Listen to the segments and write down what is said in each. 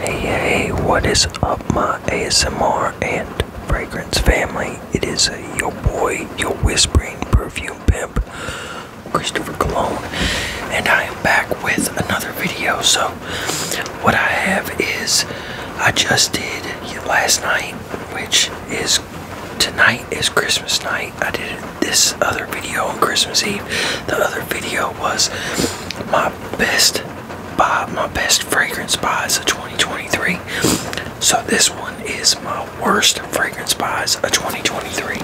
Hey, hey, what is up, my ASMR and fragrance family? It is your boy, your whispering perfume pimp, Christopher Cologne, and I am back with another video. So, what I have is I just did last night, which is tonight is Christmas night. I did it this other video on Christmas Eve. The other video was my best buy, my best fragrance buys of 2023. So this one is my worst fragrance buys of 2023.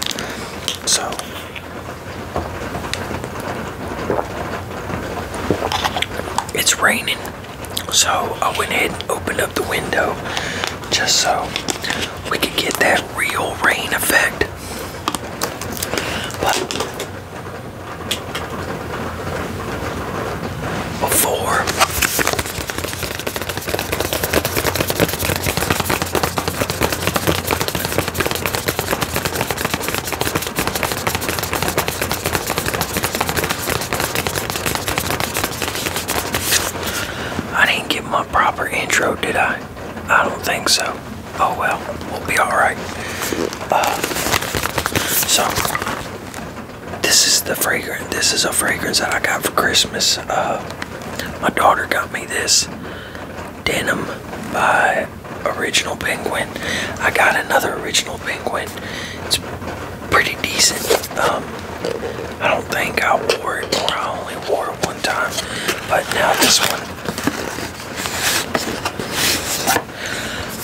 So it's raining. So I went ahead and opened up the window just so we could get that real rain effect but before I didn't get my proper intro, did I? I don't think so. Oh well, we'll be alright. Uh, so, this is the fragrance. This is a fragrance that I got for Christmas. Uh, my daughter got me this denim by Original Penguin. I got another Original Penguin. It's pretty decent. Um, I don't think I wore it, or I only wore it one time. But now this one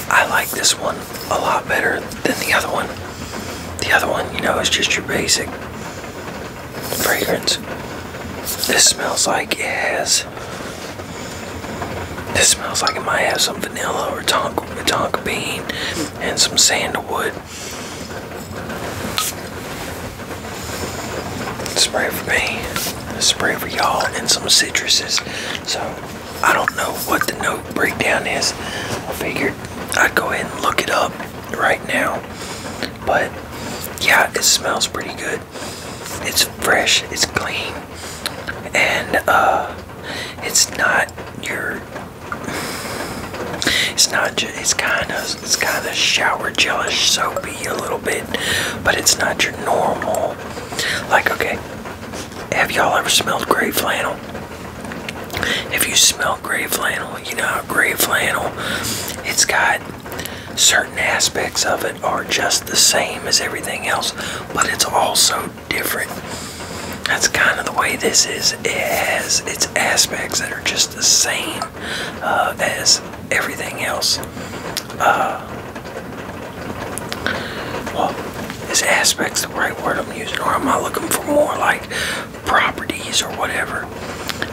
I like this one a lot better than the other one. The other one, you know, is just your basic fragrance. This smells like it has. This smells like it might have some vanilla or tonka, tonka bean and some sandalwood. Spray for me, spray for y'all, and some citruses. So I don't know what the note breakdown is. I figured I'd go ahead and look it up right now. But yeah, it smells pretty good. It's fresh, it's clean, and uh, it's not your. It's not. It's kind of it's, kind of shower gelish soapy a little bit, but it's not your normal. Like, okay, have y'all ever smelled gray flannel? If you smell gray flannel, you know gray flannel, it's got certain aspects of it are just the same as everything else, but it's also different. That's kind of the way this is. It has its aspects that are just the same uh, as everything else. Uh, well, is aspects the right word I'm using, or am I looking for more like properties or whatever?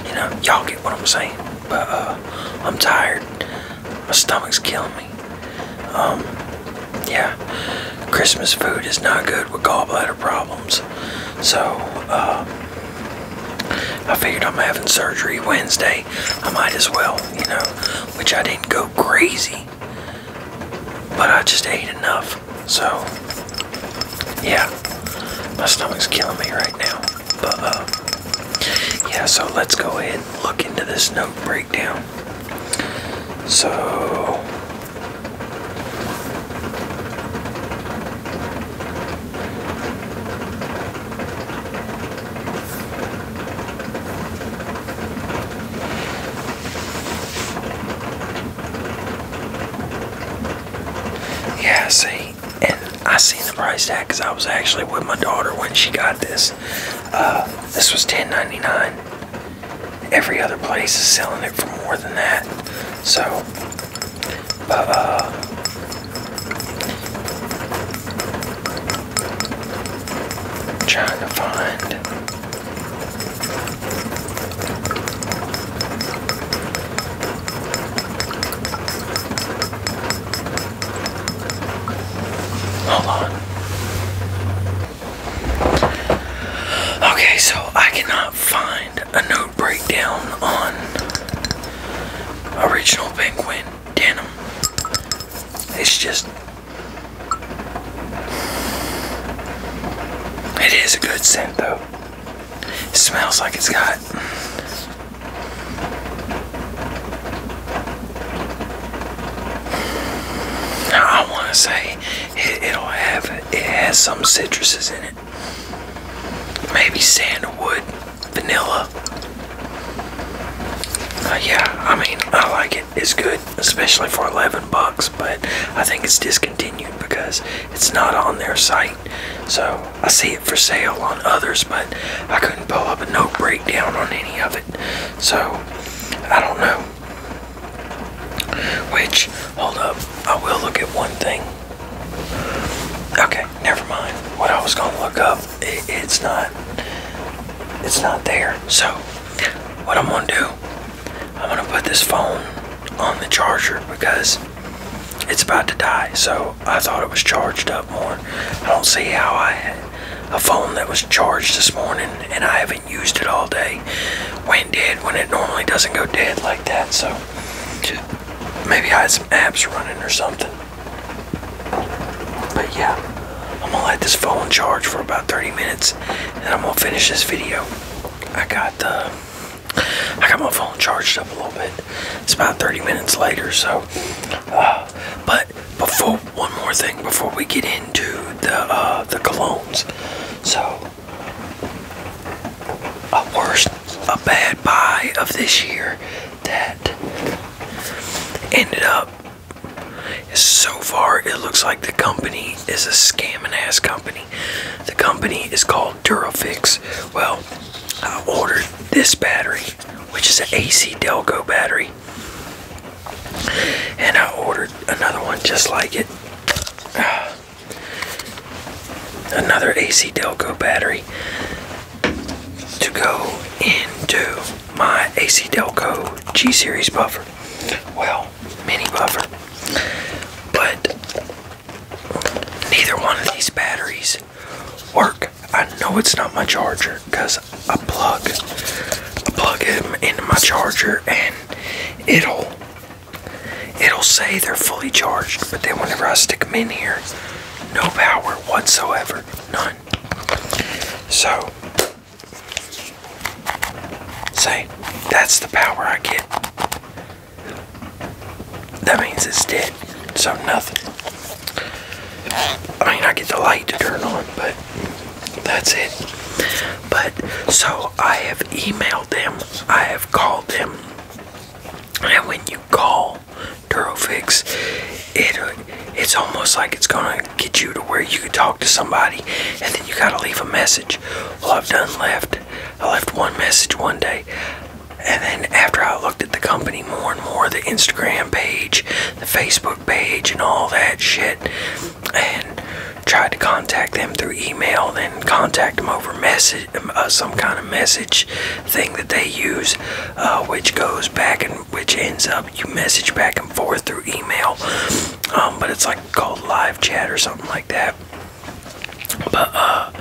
You know, y'all get what I'm saying. But uh, I'm tired. My stomach's killing me. Um, yeah, Christmas food is not good with gallbladder problems. So, uh, I figured I'm having surgery Wednesday. I might as well, you know, which I didn't go crazy, but I just ate enough. So, yeah, my stomach's killing me right now. But, uh, yeah, so let's go ahead and look into this note breakdown. So, yeah, see, and I seen the price tag because I was actually with my daughter when she got this. Uh, this was $10.99. Every other place is selling it for more than that. So but, uh, trying to find Hold on. Okay, so I cannot find a note breakdown on Original Penguin denim. It's just, it is a good scent though. It smells like it's got I want to say it'll have it has some citruses in it. Maybe sandalwood vanilla. Uh, yeah, I mean, I like it. It's good, especially for 11 bucks, but I think it's discontinued because it's not on their site. So I see it for sale on others, but I couldn't pull up a note breakdown on any of it. So I don't know. Which, hold up, I will look at one thing. Okay, never mind. What I was gonna look up, it's not, it's not there. So, what I'm gonna do, I'm gonna put this phone on the charger because it's about to die. So I thought it was charged up more. I don't see how I had a phone that was charged this morning and I haven't used it all day went dead when it normally doesn't go dead like that. So maybe I had some apps running or something. But yeah, I'm gonna let this phone charge for about 30 minutes and I'm gonna finish this video. I got the uh, I got my phone charged up a little bit. It's about 30 minutes later, so uh, but before one more thing before we get into the uh, the colognes. So a worst a bad buy of this year that ended up so far it looks like the company is a scamming ass company the company is called durafix well i ordered this battery which is an ac delco battery and i ordered another one just like it another ac delco battery to go into my AC Delco G Series buffer. Well, mini buffer. But neither one of these batteries work. I know it's not my charger because I plug I plug them into my charger and it'll it'll say they're fully charged but then whenever I stick them in here no power whatsoever none, So, say, that's the power I get. That means it's dead, so nothing. I mean, I get the light to turn on, but that's it. But, so I have emailed them, I have called them, and when you call Durofix, it uh, it's almost like it's gonna get you to where you can talk to somebody, and then you gotta leave a message. Well, I've done left. I left one message one day, and then after I looked at the company more and more, the Instagram page, the Facebook page, and all that shit, and tried to contact them through email, then contact them over message, uh, some kind of message, thing that they use, uh, which goes back and which ends up you message back and forth through email. Um, but it's like called live chat or something like that. But uh,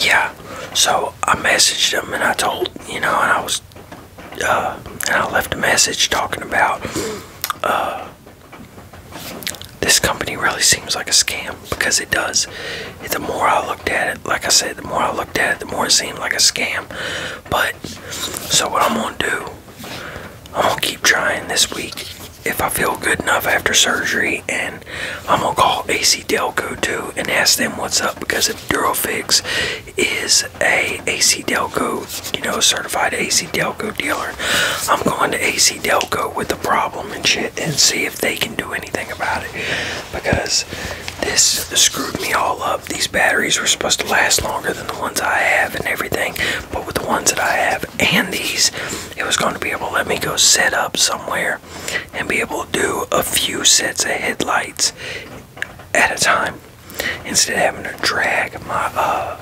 yeah, so I messaged them and I told you know, and I was uh, and I left a message talking about this company really seems like a scam because it does the more I looked at it, like I said, the more I looked at it, the more it seemed like a scam. But, so what I'm gonna do, I'm gonna keep trying this week if I feel good enough after surgery, and I'm gonna call AC Delco too and ask them what's up because if Durofix is a AC Delco, you know, certified AC Delco dealer, I'm going to AC Delco with the problem and shit and see if they can do anything about it because this screwed me all up. These batteries were supposed to last longer than the ones I have and everything, but with the ones that I have and these, it was going to be able to let me go set up somewhere and be able to do a few sets of headlights at a time instead of having to drag my uh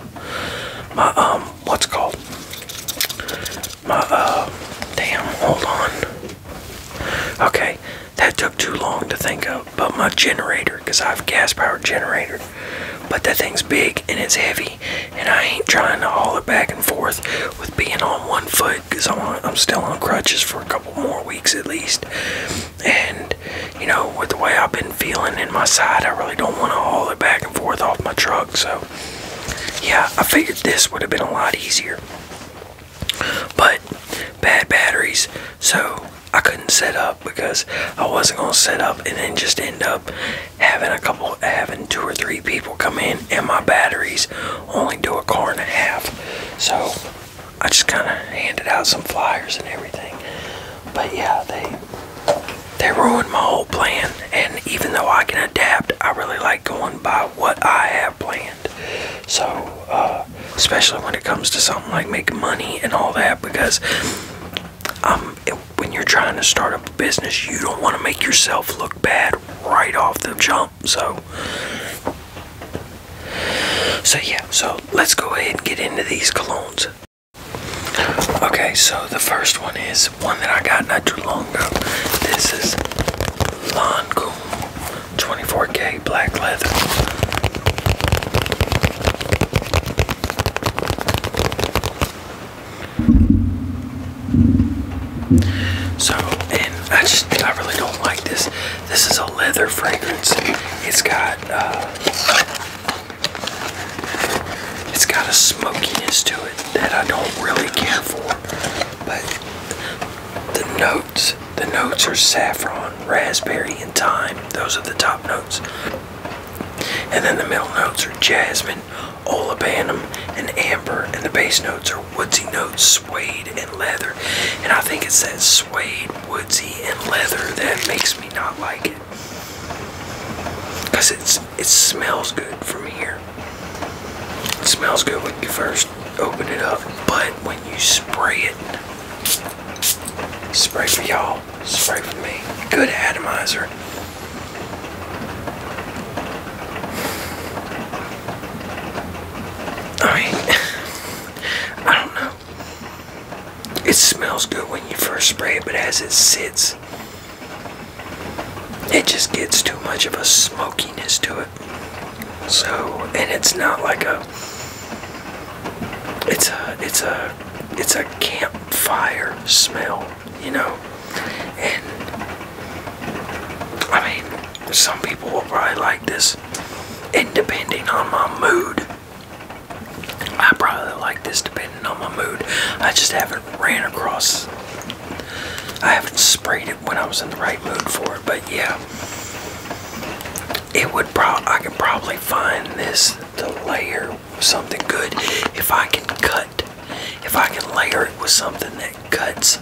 my um what's called my uh damn hold on okay that took too long to think of, but my generator, because I have a gas powered generator. But that thing's big and it's heavy, and I ain't trying to haul it back and forth with being on one foot because I'm still on crutches for a couple more weeks at least. And, you know, with the way I've been feeling in my side, I really don't want to haul it back and forth off my truck. So, yeah, I figured this would have been a lot easier but bad batteries, so I couldn't set up because I wasn't gonna set up and then just end up having a couple, having two or three people come in, and my batteries only do a car and a half. So I just kind of handed out some flyers and everything, but yeah, they they ruined my whole plan. And even though I can adapt, I really like going by what I have planned. So, uh, especially when it comes to something like making money and all that, because um, when you're trying to start up a business, you don't want to make yourself look bad right off the jump. So, so yeah. So let's go ahead and get into these colognes. Okay, so the first one is one that I got not too long ago. This is Lancôme 24K black leather. So, and I just, I really don't like this. This is a leather fragrance. It's got, uh, it's got a smokiness to it that I don't really care for. But the note. The notes are saffron, raspberry, and thyme. Those are the top notes. And then the middle notes are jasmine, olibanum, and amber. And the base notes are woodsy notes, suede, and leather. And I think it says suede, woodsy, and leather that makes me not like it. Because it smells good from here. It smells good when you first open it up, but when you spray it, spray for y'all, spray for me. Good atomizer. I I don't know. It smells good when you first spray it, but as it sits, it just gets too much of a smokiness to it. So, and it's not like a it's a it's a it's a campfire smell, you know. And I mean, some people will probably like this, and depending on my mood, I probably like this depending on my mood. I just haven't ran across. I haven't sprayed it when I was in the right mood for it, but yeah it would probably I can probably find this the layer something good if I can cut if I can layer it with something that cuts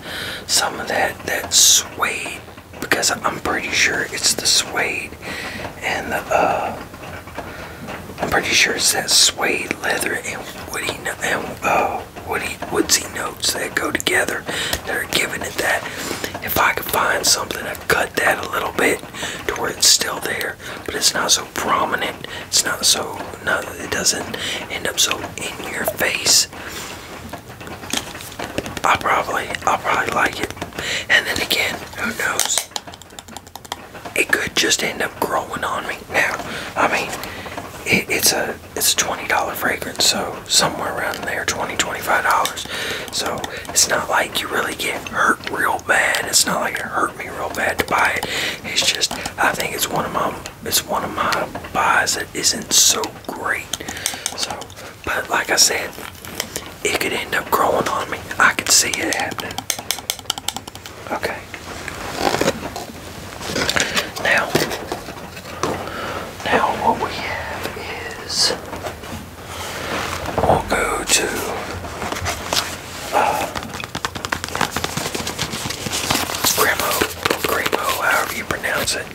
some of that that suede because I'm pretty sure it's the suede and the uh I'm pretty sure it's that suede leather and woody and uh woody, woodsy notes that go together they are giving it that. If I could find something, i cut that a little bit to where it's still there, but it's not so prominent. It's not so, not, it doesn't end up so in your face. I probably, I'll probably like it. And then again, who knows? It could just end up growing on me. Now, I mean, it's a it's a $20 fragrance, so somewhere around there, $20, $25. So it's not like you really get hurt real bad. It's not like it hurt me real bad to buy it. It's just, I think it's one of my, it's one of my buys that isn't so great. So, but like I said, it could end up growing on me. I could see it happening. Okay. Now, now what we have is we'll go to uh, Grimo, Grimo, however you pronounce it.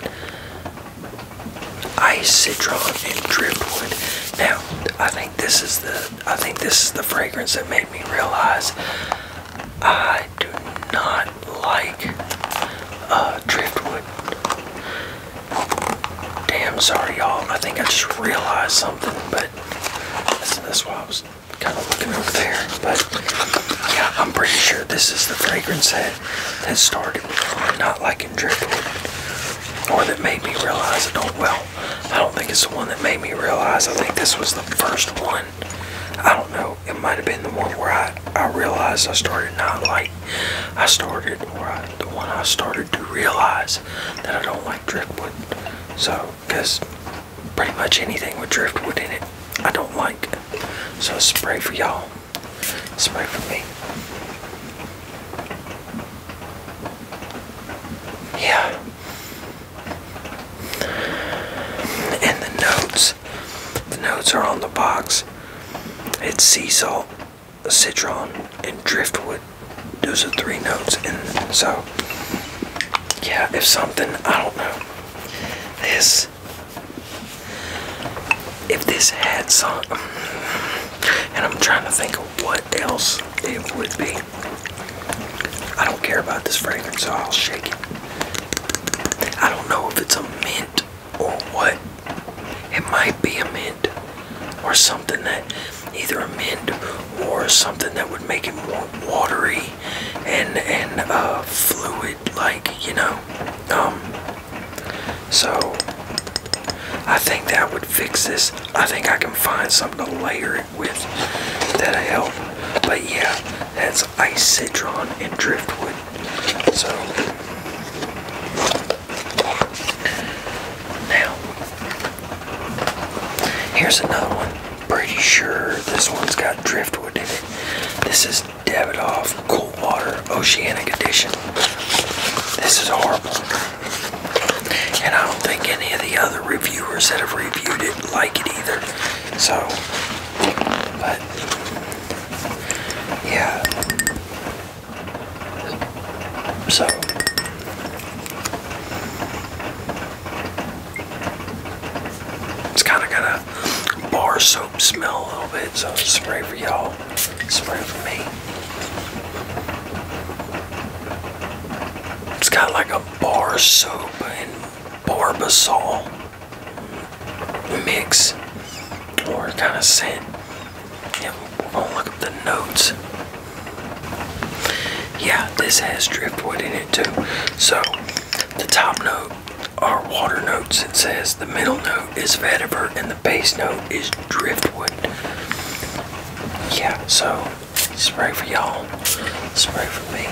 Ice, citron, and driftwood. Now, I think this is the I think this is the fragrance that made me realize I do not like uh, driftwood. Damn, sorry y'all. I think I just realized something, but that's, why I was kind of looking over there. But yeah, I'm pretty sure this is the fragrance that that started me not liking driftwood, or that made me realize I don't. Well, I don't think it's the one that made me realize. I think this was the first one. I don't know it might have been the one where I, I realized I started not like, I started, or I, the one I started to realize that I don't like driftwood. So, because pretty much anything with driftwood in it, I don't like. So spray for y'all, spray for me. Yeah. And the notes the notes are on the box. It's sea salt, citron, and driftwood. Those are three notes, and so yeah, if something I don't know this. If this had some, and I'm trying to think of what else it would be. I don't care about this fragrance, so I'll shake it. I don't know if it's a mint or what? It might be a mint or something that either a mint or something that would make it more watery and and uh, fluid like you know um so I think that would fix this I think I can find something to layer it with that'll help but yeah that's ice citron and driftwood so now here's another one. Pretty sure this one's got driftwood in it. This is Davidoff Cool Water Oceanic Edition. This is horrible. And I don't think any of the other reviewers that have reviewed it like it either. So but yeah. So it's kind of got a bar soap smell a little bit, so spray for y'all, spray for me. It's got like a bar soap and barbasol mix or kind of scent. Yeah, we're gonna look at the notes. Yeah, this has driftwood in it too. So the top note are water notes. It says the middle note is vetiver and the base note is driftwood. Yeah, so spray for y'all, spray for me.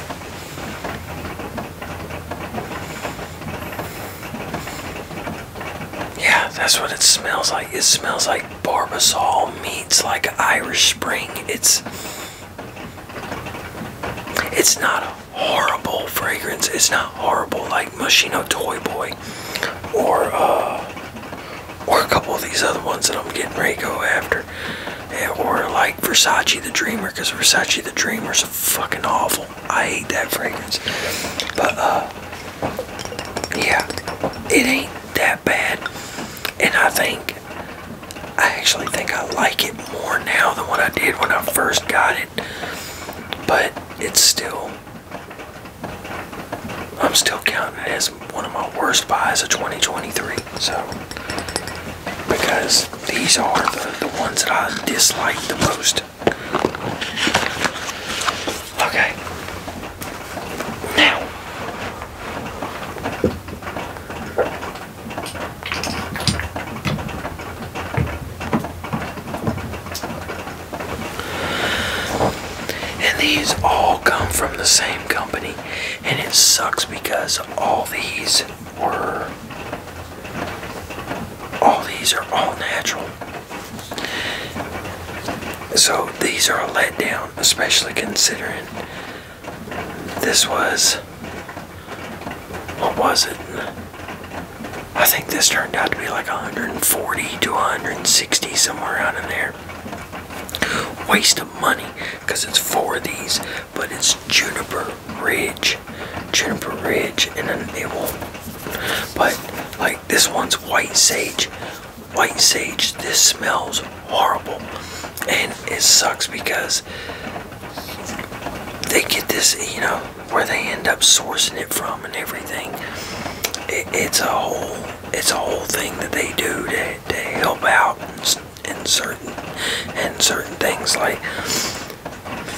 Yeah, that's what it smells like. It smells like barbasol It's like Irish Spring. It's it's not a horrible fragrance. It's not horrible like Machino Toy Boy or uh, or a couple of these other ones that I'm getting ready to go after. Yeah, or like Versace the Dreamer, because Versace the Dreamer Dreamer's fucking awful. I hate that fragrance. But uh yeah, it ain't that bad. And I think I actually think I like it more now than what I did when I first got it. But it's still I'm still counting it as one of my worst buys of 2023. So because these are the, the ones that I dislike the most. Okay. Now, and these all come from the same company, and it sucks because all these were all these are all natural. So these are a letdown, especially considering this was. What was it? I think this turned out to be like 140 to 160, somewhere out in there. Waste of money because it's four of these, but it's Juniper Ridge. Juniper Ridge, and then it but like this one's white sage. White sage, this smells horrible. And it sucks because they get this, you know, where they end up sourcing it from and everything. it's a whole it's a whole thing that they do to, to help out in, certain and certain things like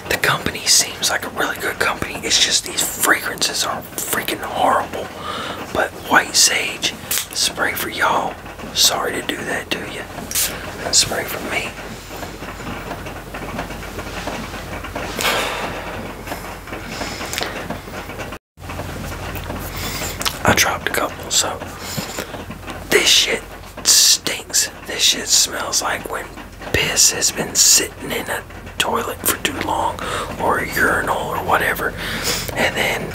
the company seems like a really good company. It's just these fragrances are freaking horrible. But white sage spray for y'all. Sorry to do that to you. Spray for me. I dropped a couple, so this shit stinks. This shit smells like when piss has been sitting in a toilet for too long or a urinal or whatever and then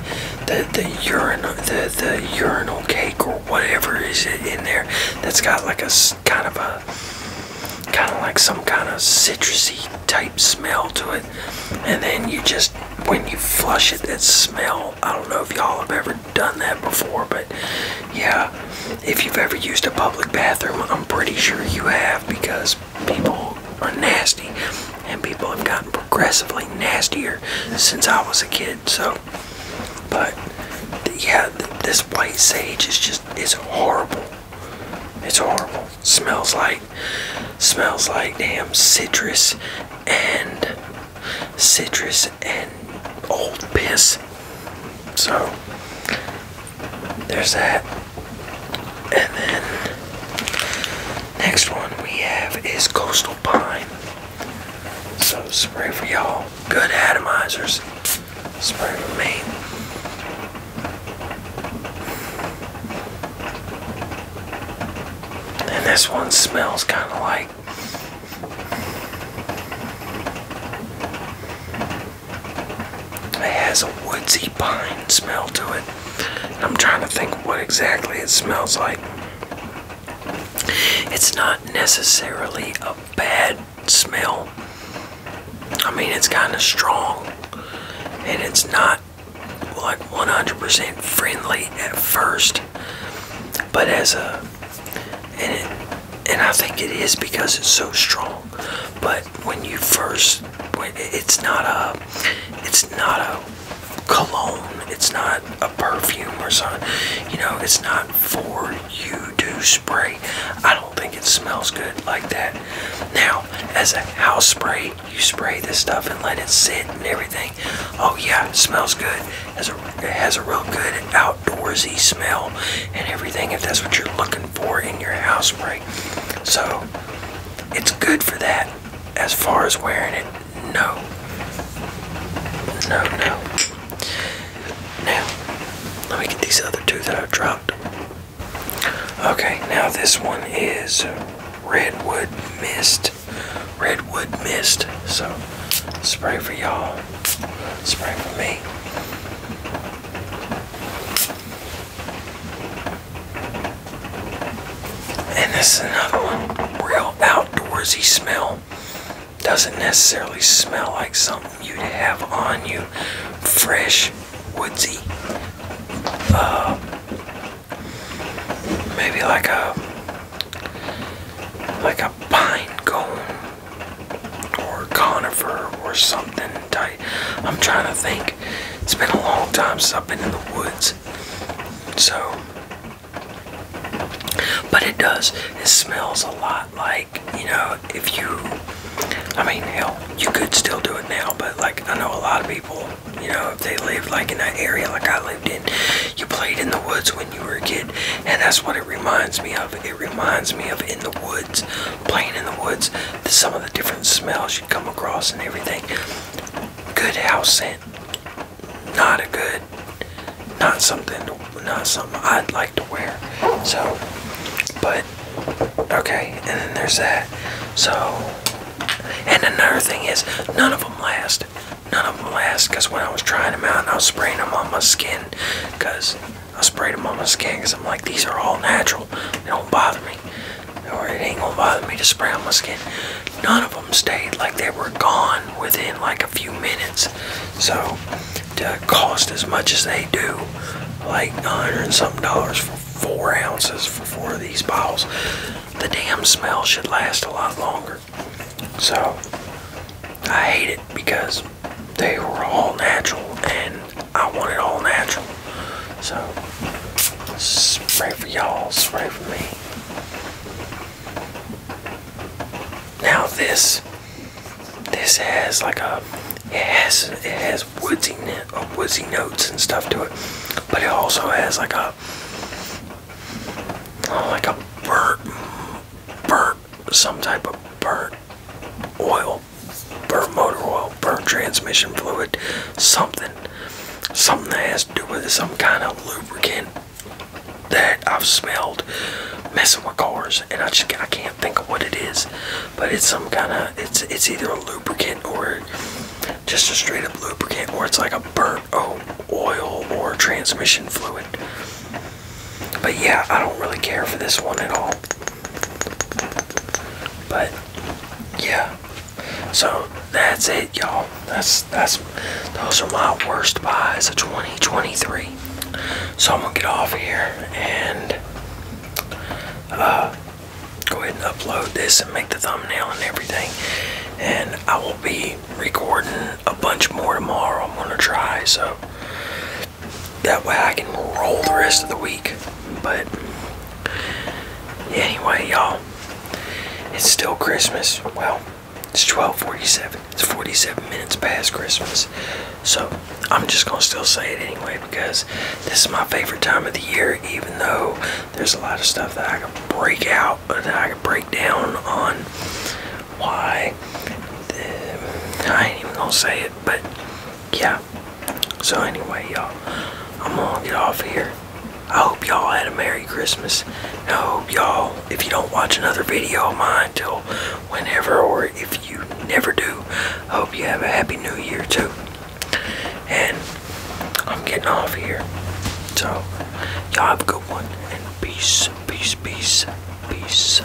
the the urinal the the urinal cake or whatever is in there that's got like a kind of a kind of like some kind of citrusy type smell to it and then you just when you flush it that smell i don't know if y'all have ever done that before but yeah, if you've ever used a public bathroom, I'm pretty sure you have because people are nasty and people have gotten progressively nastier since I was a kid. So, but yeah, this white sage is just, it's horrible. It's horrible. Smells like, smells like damn citrus and citrus and old piss. So, there's that. And then next one we have is coastal pine. So spray for y'all. Good atomizers. Spray for me. And this one smells kind of like it has a woodsy pine smell to it. I'm trying to think what exactly it smells like. It's not necessarily a bad smell. I mean, it's kind of strong and it's not like 100% friendly at first, but as a and it, and I think it is because it's so strong. But when you first, it's not a, it's not a cologne. It's not a perfume or something. You know, it's not for you to spray. I don't think it smells good like that. Now, as a house spray, you spray this stuff and let it sit and everything. Oh yeah, it smells good. It has a, has a real good out outdoorsy smell and everything if that's what you're looking for in your house spray. So it's good for that. As far as wearing it, no. No, no. Now, let me get these other two that I've dropped. Okay, now this one is Redwood Mist. Redwood Mist. So, spray for y'all. Spray for me. And this is another one. Real outdoorsy smell. Doesn't necessarily smell like something you'd have on you. Fresh, woodsy. Uh, maybe like a like a pine cone or conifer or something I'm trying to think. It's been a long time since in the woods. So, but it does. It smells a lot like, you know, if you, I mean, hell, you could still do it now, but like, I know a lot of people, you know, if they lived like in that area like I lived in, you played in the woods when you were a kid, and that's what it reminds me of. It reminds me of in the woods playing in the woods, some of the different smells you come across and everything. Good house scent. Not a good, not something, not something I'd like to wear. So, but, okay, and then there's that. So, and another thing is, none of them last. None of them last because when I was trying them out, I was spraying them on my skin because I sprayed them on my skin because I'm like, these are all natural. They don't bother me. Or it ain't gonna bother me to spray on my skin. None of them stayed. Like they were gone within like a few minutes. So to cost as much as they do, like 900 and something dollars for four ounces for four of these bottles, the damn smell should last a lot longer. So I hate it because they were all natural and I want it all natural. So spray for y'all, spray for me. Now this this has like a it has it has woodsy uh, notes and stuff to it, but it also has like a uh, like a burnt burnt some type of burnt oil, burnt motor oil, burnt transmission fluid, something. Something that has to do with some kind of lubricant that I've smelled messing with cars, and I just I can't think of what it is, but it's some kind of it's it's either a lubricant or just a straight up lubricant, or it's like a burnt oil or transmission fluid. But yeah, I don't really care for this one at all. But yeah. So that's it y'all. That's that's those are my worst buys of 2023. So I'm gonna get off here and uh go ahead and upload this and make the thumbnail and everything. And I will be recording a bunch more tomorrow. I'm gonna try so that way I can roll the rest of the week. But anyway, y'all, it's still Christmas. Well, it's 12:47. It's 47 minutes past Christmas. So, I'm just going to still say it anyway because this is my favorite time of the year even though there's a lot of stuff that I can break out, that I can break down on why I ain't even going to say it, but yeah. So anyway, y'all, I'm gonna get off here. I hope y'all had a Merry Christmas. I hope y'all, if you don't watch another video of mine till whenever, or if you never do, hope you have a Happy New Year too. And I'm getting off here. So, y'all have a good one. And peace, peace, peace, peace.